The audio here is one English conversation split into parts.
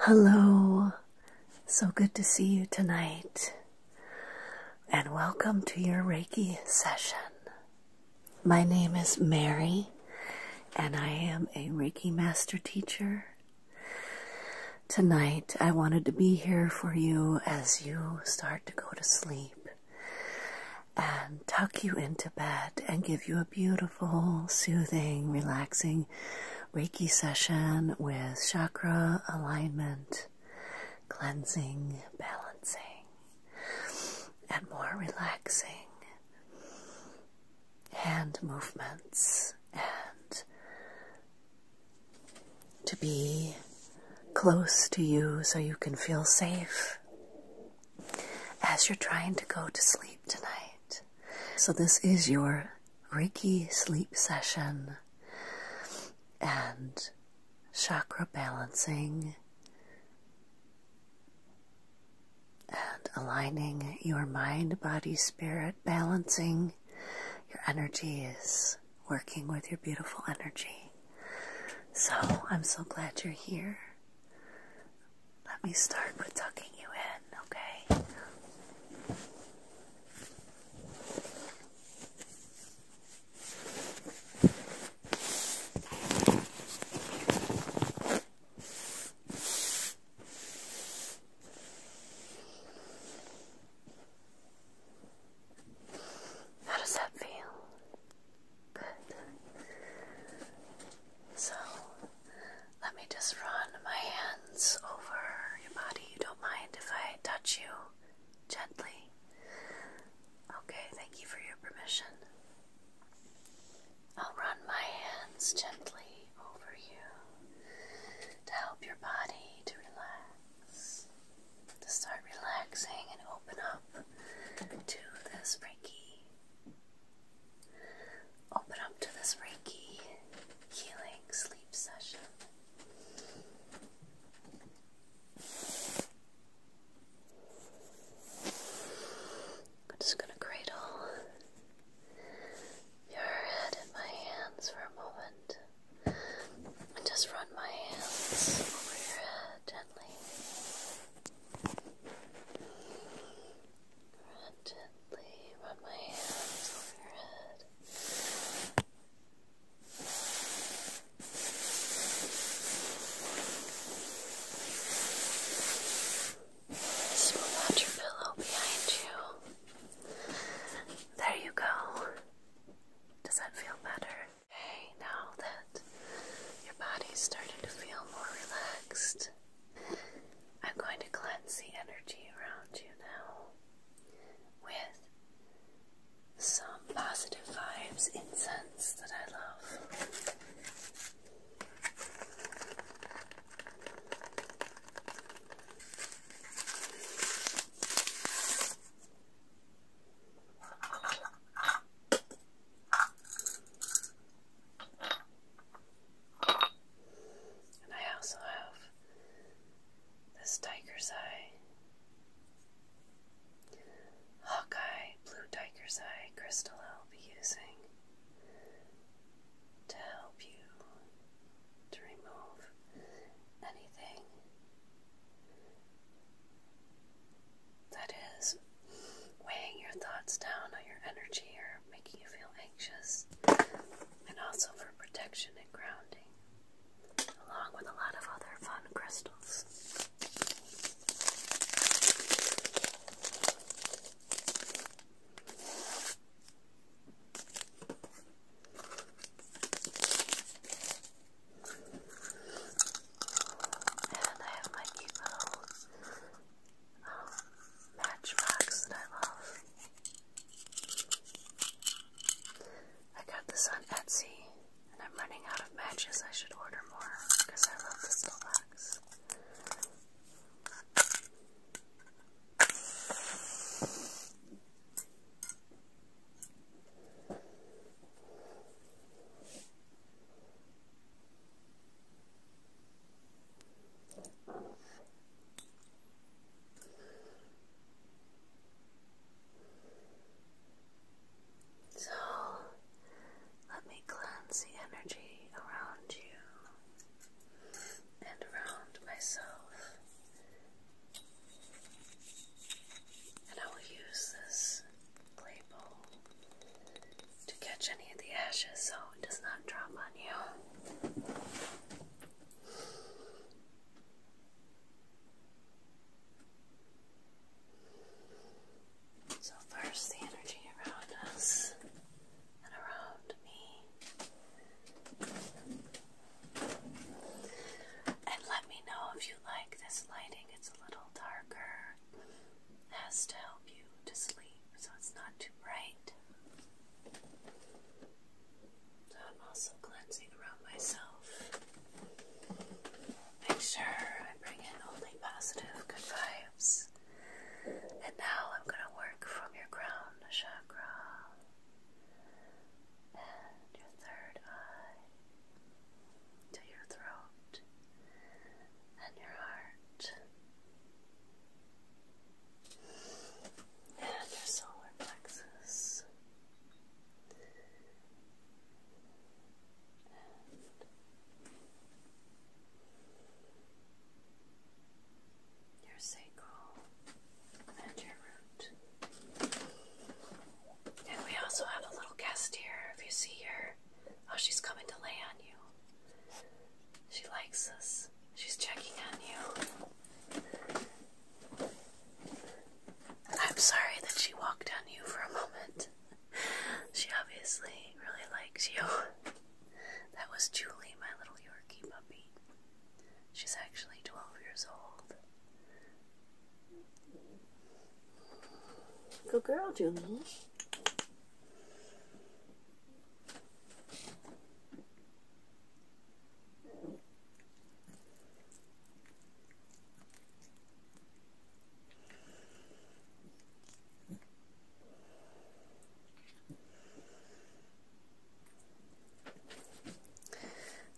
Hello, so good to see you tonight, and welcome to your Reiki session. My name is Mary, and I am a Reiki Master Teacher. Tonight, I wanted to be here for you as you start to go to sleep and tuck you into bed and give you a a beautiful, soothing, relaxing Reiki session with chakra alignment, cleansing, balancing, and more relaxing hand movements and to be close to you so you can feel safe as you're trying to go to sleep tonight. So, this is your Reiki sleep session and chakra balancing and aligning your mind, body, spirit, balancing your energies, working with your beautiful energy. So, I'm so glad you're here. Let me start with tucking you in, okay? How does that feel? Good. So, let me just run my hands over your body. You don't mind if I touch you gently? Okay, thank you for your permission. I'll run my hands gently over you to help your body to relax, to start relaxing and open up to this Reiki Open up to this Reiki healing sleep session. I'm just going to cradle your head in my hands for a moment and just run my hands over your head gently. Gently rub my hands over your head. Smooth out your pillow behind you. There you go. Does that feel better? Okay, now that your body's starting to feel more relaxed, I'm going to cleanse the energy around you now with some positive vibes incense that I love. And I also have this tiger's eye, Hawkeye Blue Tiger's Eye crystal I'll be using to help you to remove anything that is, weighing your thoughts down on your energy or making you feel anxious, and also for protection and grounding, along with a lot of other fun crystals. And I have my cute matchbox that I love. I got this on Etsy, and I'm running out of matches. I should order more because I love this little box. So let me cleanse the energy around you and around myself. And I will use this to catch any of the ashes so it does not drop on you. So, first, the energy around us and around me. And let me know if you like this lighting. It's a little darker has to help you to sleep so it's not too bright. So I'm also cleansing around myself. Make sure I bring in only positive, good vibes. And now I'm going to work from your crown chakra and your third eye to your throat and your heart and your solar plexus and your sacral and your root. And we also have a little guest here. If you see her, Oh, she's coming to lay on you. She likes us. She's checking on you. I'm sorry that she walked on you for a moment. She obviously really likes you. That was Julie, my little Yorkie puppy. She's actually 12 years old. Good girl, Julie.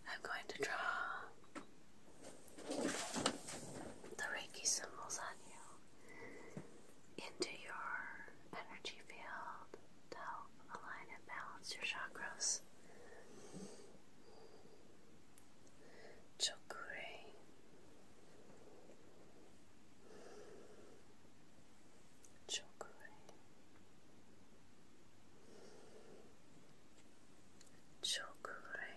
I'm going to draw the Reiki symbols on you into your energy field to help align and balance your chakras. Chakri. Chakri. Chakri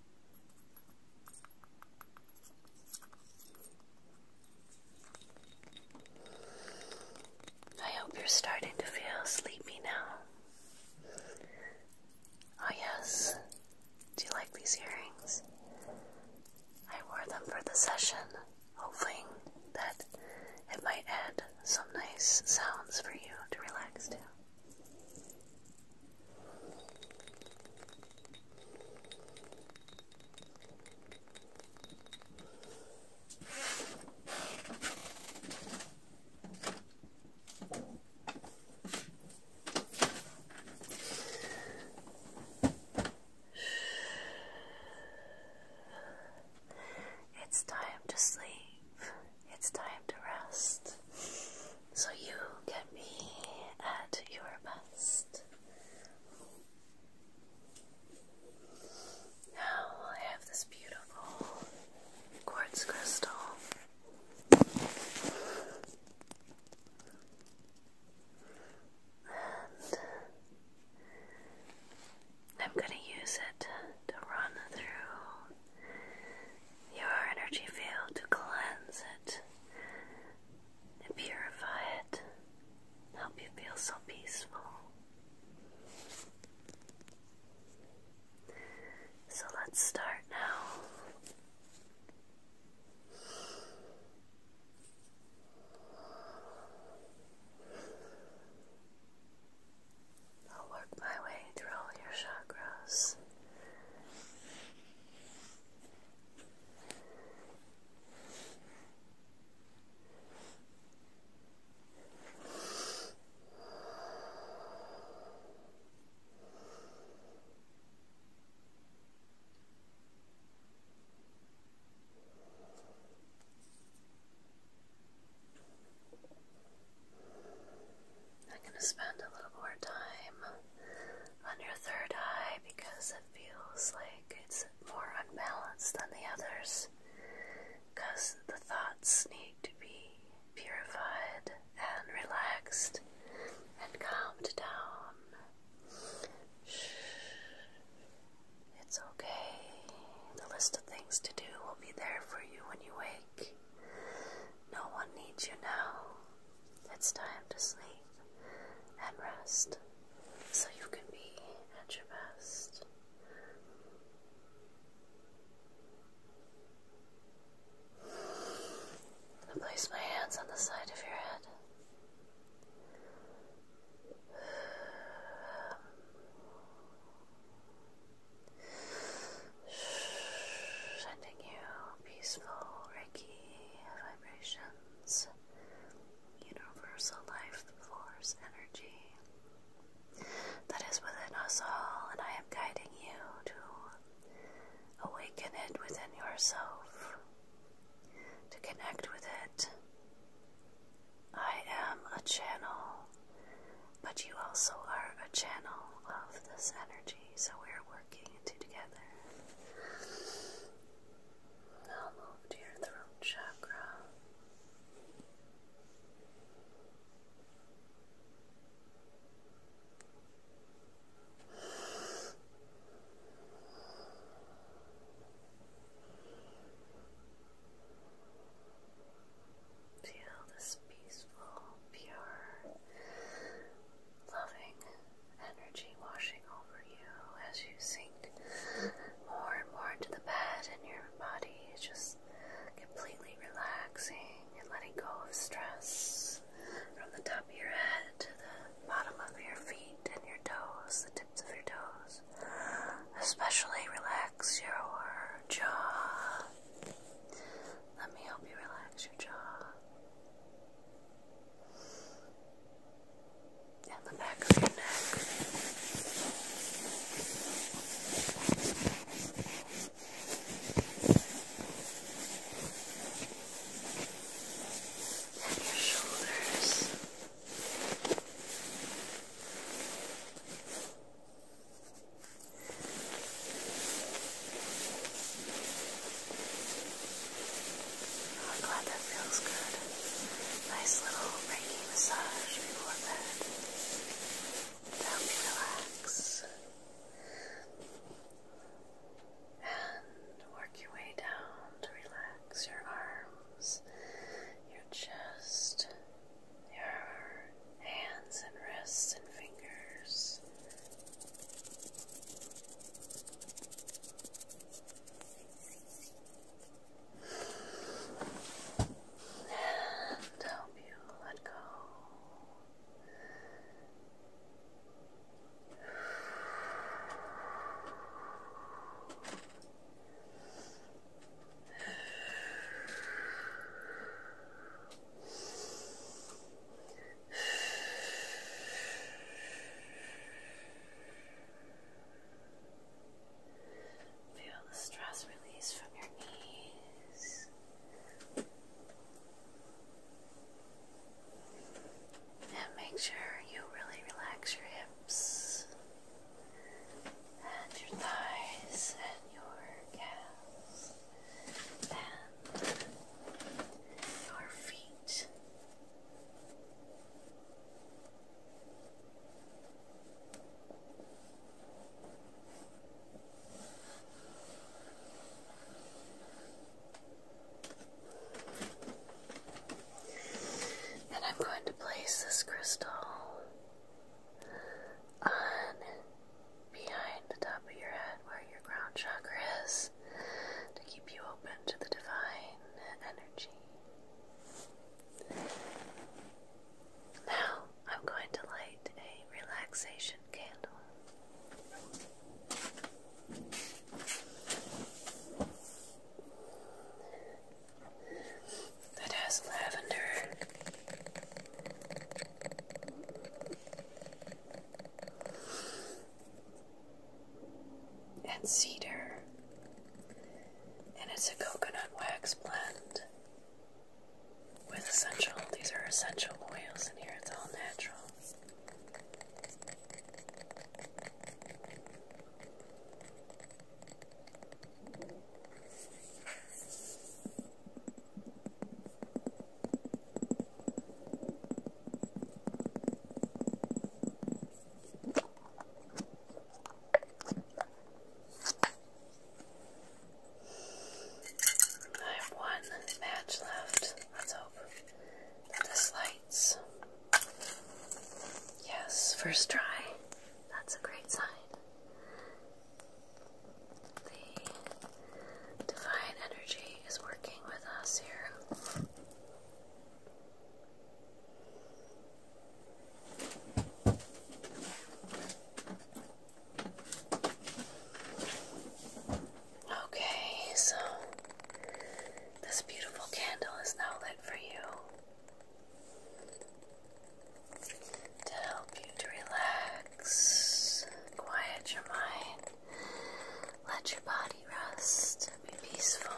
I hope you're starting to feel sleepy now. Oh, yes. Do you like these earrings? I wore them for the session, hoping that it might add some nice sounds for you to relax to. It's time to sleep it's time to rest so you can be at your best. Now I have this beautiful quartz crystal. And I'm going to use it to run through your energy field to cleanse it and purify it, help you feel so peaceful. So let's start now. I'll work my way through all your chakras. I'm going to spend a little more time on your third eye because it feels like it's more unbalanced than the others. Because the thoughts need to be purified and relaxed and calmed down. It's okay. The list of things to do will be there for you when you wake. No one needs you now. It's time to sleep and rest so you can be at your best. I place my hands on the side of your head sending you peaceful Reiki vibrations, universal life force energy that is within us all, and I am guiding you to awaken it within yourself, to connect with it. I am a channel but you also are a channel of this energy, so we're working two together. Now move to your throat chakra. Feel this peaceful, pure, loving energy washing over you as you sink more and more into the bed, and your body is just completely relaxing and letting go of stress from the top of your head to the bottom of your feet and your toes, the tips of your toes. Especially relax your jaw. Let me help you relax your jaw. And the back of your neck. And your shoulders. Oh, I'm glad that feels good. Nice little Reiki massage before bed help you relax and work your way down to relax your arms, your chest, your hands and wrists and fingers. And help you let go. Feel the stress release from your knees. And make sure you really relax your hips and your thighs and your calves and your feet. And I'm going to place this crystal on behind the top of your head where your crown chakra is to keep you open to the divine energy. Now I'm going to light a relaxation candle that has lavender. And cedar, and it's a coconut wax blend with essential, these are essential oils in here, it's all natural. I have one match left. Let's hope this lights. Yes, first try. That's a great sign. The divine energy is working with us here. Okay, so this beautiful candle is now lit for you to help you to relax, quiet your mind, let your body rest, be peaceful.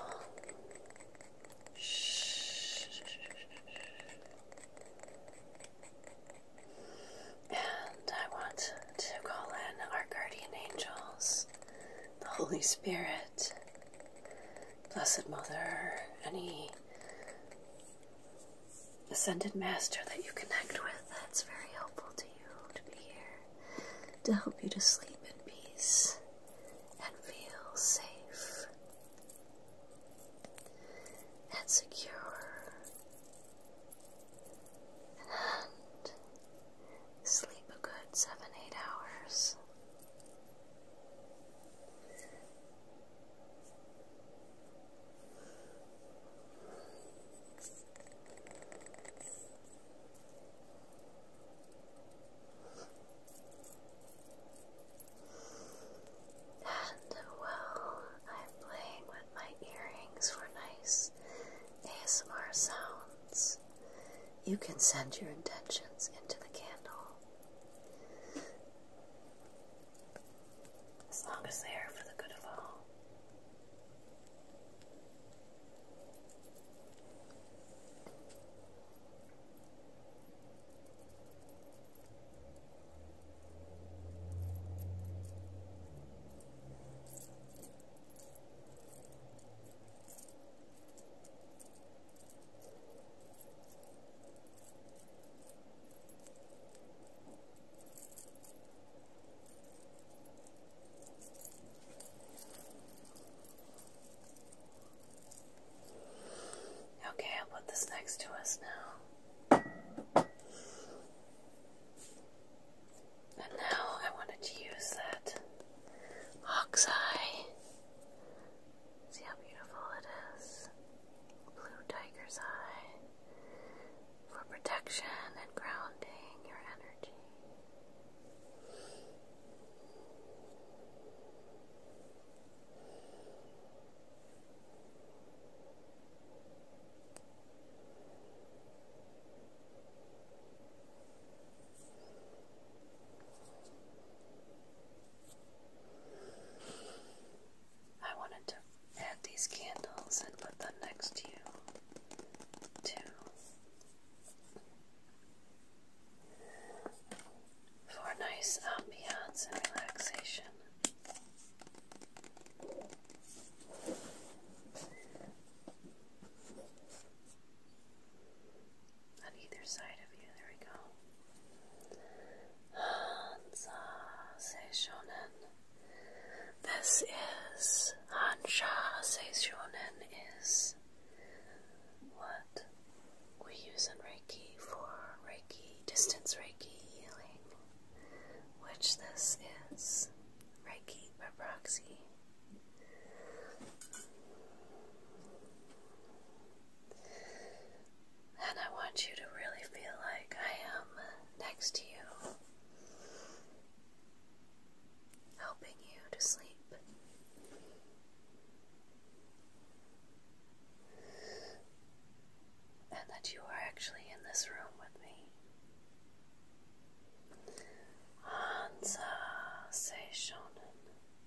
Shh. And I want to call in our guardian angels, the Holy Spirit, Blessed Mother, any ascended master that you connect with that's very helpful to you to be here to help you to sleep in peace and feel safe and secure and sleep a good seven, eight hours. And uh, while I'm playing with my earrings for nice ASMR sounds, you can send your intentions into the candle as long as they are for the good of all. Okay, I'll put this next to us now. And now I wanted to use that hawk's eye. See how beautiful it is. Blue Tiger's Eye for protection and grounding your energy. I wanted to add these candles and put them next to you, too. For nice ambiance and relaxation on either side of you. There we go. Hansa Seishonen. This is Hansha Seishonen is what we use in Reiki for Reiki, distance Reiki healing, which this is Reiki by proxy. And I want you to really feel like I am next to you, helping you to sleep. And that you are actually in this room with me. Ansa Seishonen.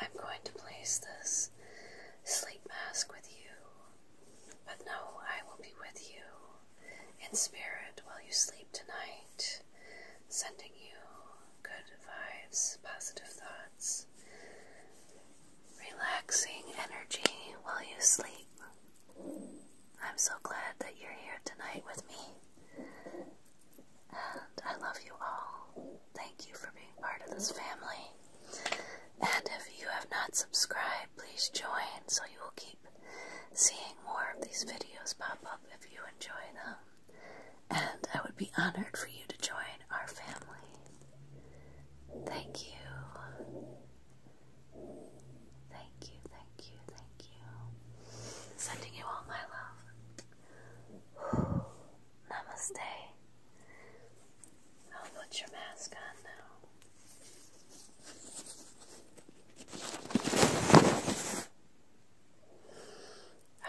I'm going to place this sleep mask with you, but no, I will be with you in spirit while you sleep tonight, sending you good vibes, positive thoughts, relaxing energy while you sleep. I'm so glad that you're here tonight with me. And I love you all. Thank you for being part of this family. And if you have not subscribed, please join so you will keep seeing more of these videos pop up if you enjoy them. And I would be honored for you to join our family. Thank you. Thank you, thank you, thank you. Sending you all my love. Namaste. I'll put your mask on now.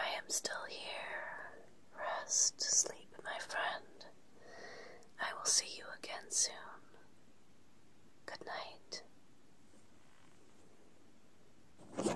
I am still here. Rest, sleep, my friend. I will see you again soon. Good night.